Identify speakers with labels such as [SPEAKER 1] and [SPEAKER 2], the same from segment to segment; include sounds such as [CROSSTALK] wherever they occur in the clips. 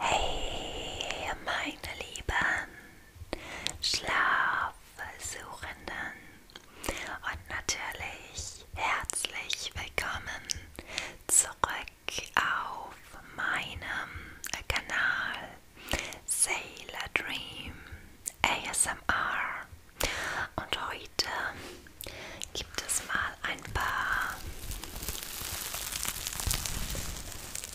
[SPEAKER 1] Hey, meine lieben Schlafsuchenden und natürlich herzlich willkommen zurück auf meinem Kanal Sailor Dream ASMR. Und heute gibt es mal ein paar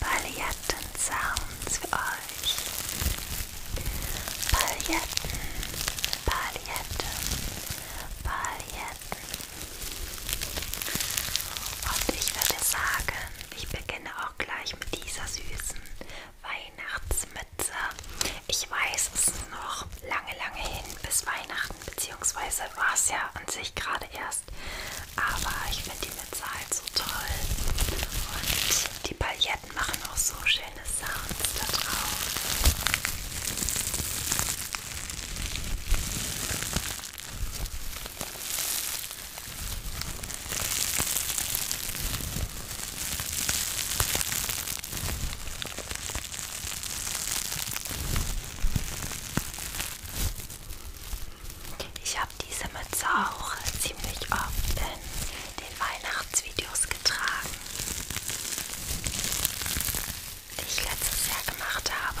[SPEAKER 1] Paletten-Sounds für euch. Paletten, Paletten, Paletten. Und ich würde sagen, ich beginne auch gleich mit dieser süßen Weihnachtsmütze. Ich weiß, es ist noch lange, lange hin bis Weihnachten, beziehungsweise war es ja an sich gerade erst. Aber ich finde die Mütze halt so toll. Und die Pailletten machen auch so schöne Sounds da drauf. Ich habe diese Mütze auch ziemlich oft in den Weihnachtsvideos getragen, die ich letztes Jahr gemacht habe.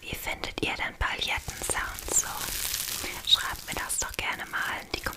[SPEAKER 1] Wie findet ihr denn Palettensounds so? Schreibt mir das doch gerne mal in die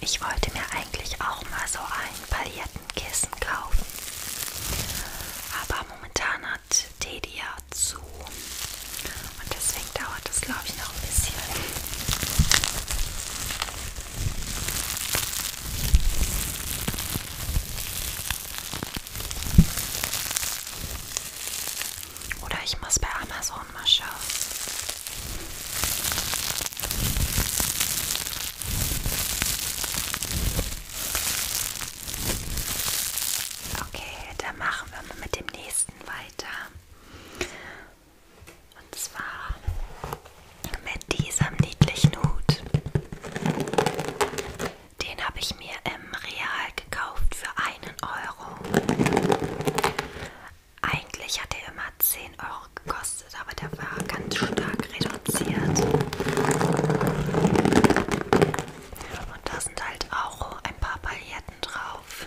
[SPEAKER 1] Ich wollte mir eigentlich auch mal so ein Palettenkissen kaufen. Aber momentan hat Teddy ja zu. Und deswegen dauert das, glaube ich, noch ein bisschen. Oder ich muss bei Amazon mal schauen. Okay, dann machen wir mal mit dem nächsten weiter. Und zwar mit diesem niedlichen Hut. Den habe ich mir im Real gekauft für einen Euro. Eigentlich hat er immer 10 Euro gekostet, aber der war ganz stark reduziert. Und da sind halt auch ein paar Paletten drauf.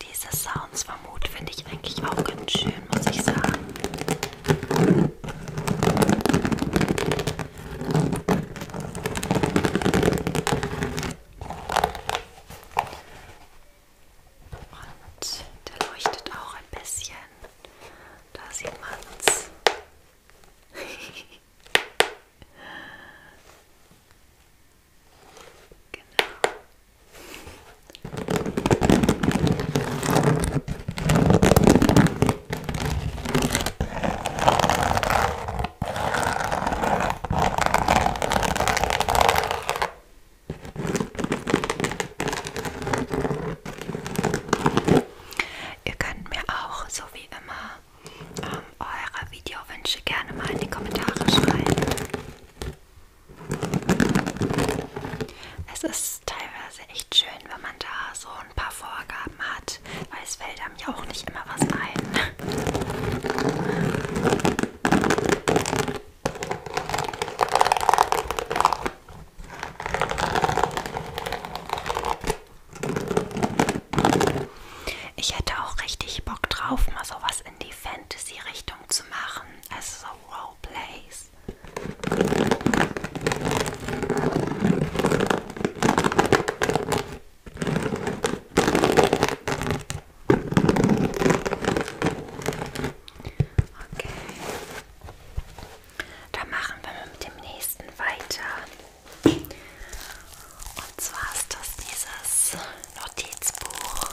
[SPEAKER 1] Diese Sounds vom Hut finde ich eigentlich auch ganz schön, muss ich sagen. Und der leuchtet auch ein bisschen. Da sieht man's. [LAUGHS] genau. Ihr könnt mir auch, so wie immer, ähm, eure Videowünsche gerne mal in die Kommentare schreiben. Es ist teilweise echt schön, wenn man da so ein paar Vorgaben hat, weil es fällt einem ja auch nicht immer was ein. Ich hätte auch richtig Bock drauf, mal sowas in die Fantasy-Richtung zu machen. Also so Roleplays. Okay. Dann machen wir mit dem nächsten weiter. Und zwar ist das dieses Notizbuch.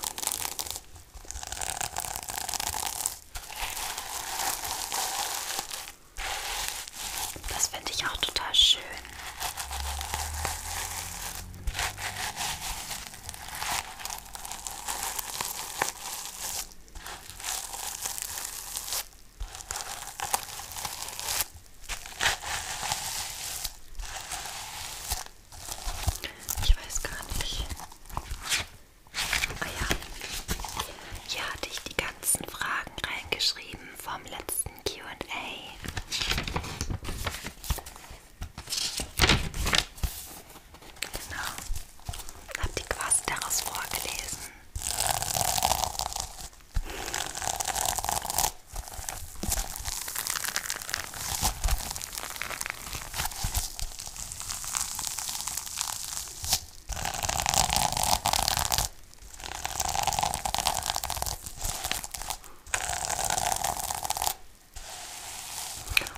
[SPEAKER 1] Das finde ich auch total schön. Ich weiß gar nicht. Ah ja, hier hatte ich die ganzen Fragen reingeschrieben vom letzten QA. Genau. Und habe die quasi daraus vorgelesen.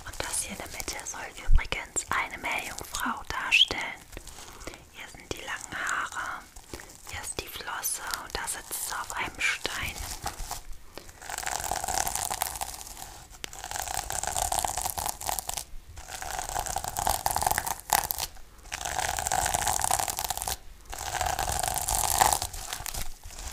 [SPEAKER 1] Und das hier in der Mitte soll übrigens eine Meerjungfrau darstellen. Hier sind die langen Haare, hier ist die Flosse und da sitzt sie auf einem Stein.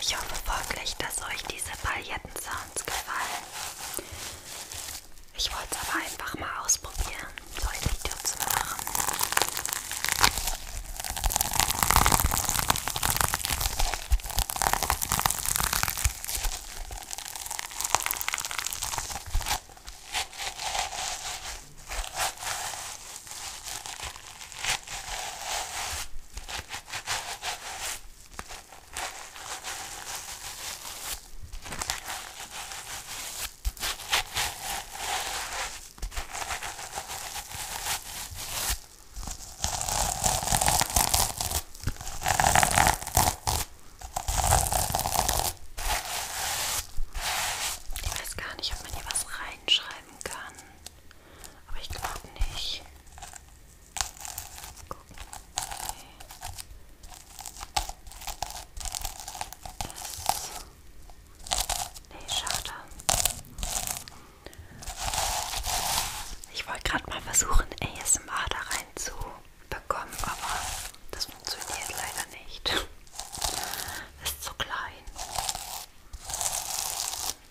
[SPEAKER 1] Ich hoffe wirklich, dass euch diese Pailletten-Sounds gefallen. Ich wollte es aber einfach mal ausprobieren, so ein Video zu machen. Ich weiß gar nicht, ob man hier was reinschreiben kann. Aber ich glaube nicht. Gucken. Nee. nee, schade. Ich wollte gerade mal versuchen, ASMR da rein zu bekommen, aber das funktioniert leider nicht. Das [LAUGHS] ist zu klein.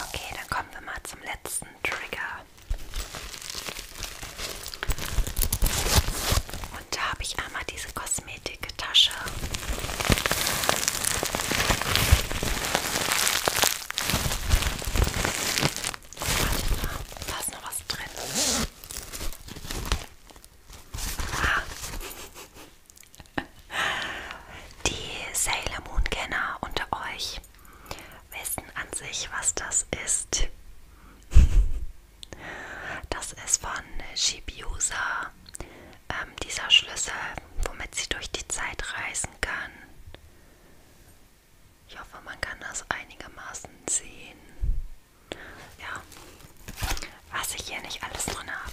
[SPEAKER 1] Okay, dann kommen wir mal zum letzten Trigger. Und da habe ich einmal diese Kosmetiktasche. Warte mal, da ist noch was drin. Die Sailor Moon Kenner unter euch wissen an sich, was das ist. Das ist von Shibusa, ähm, dieser Schlüssel, womit sie durch die Zeit reisen kann. Ich hoffe, man kann das einigermaßen sehen. Ja, was ich hier nicht alles drin habe.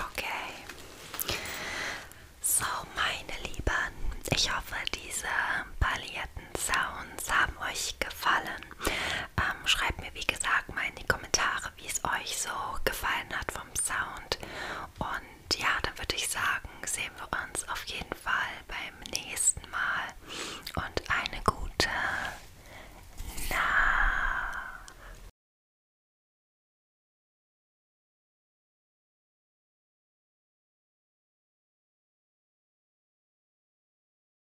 [SPEAKER 1] Okay. So, meine Lieben, ich hoffe, diese palierten Sounds haben euch gefallen. Ähm, schreibt mir, wie gesagt, mal in die Kommentare, wie es euch so gefallen hat vom Sound. Und ja, dann würde ich sagen, sehen wir uns auf jeden Fall beim nächsten Mal. Und eine gute Nacht.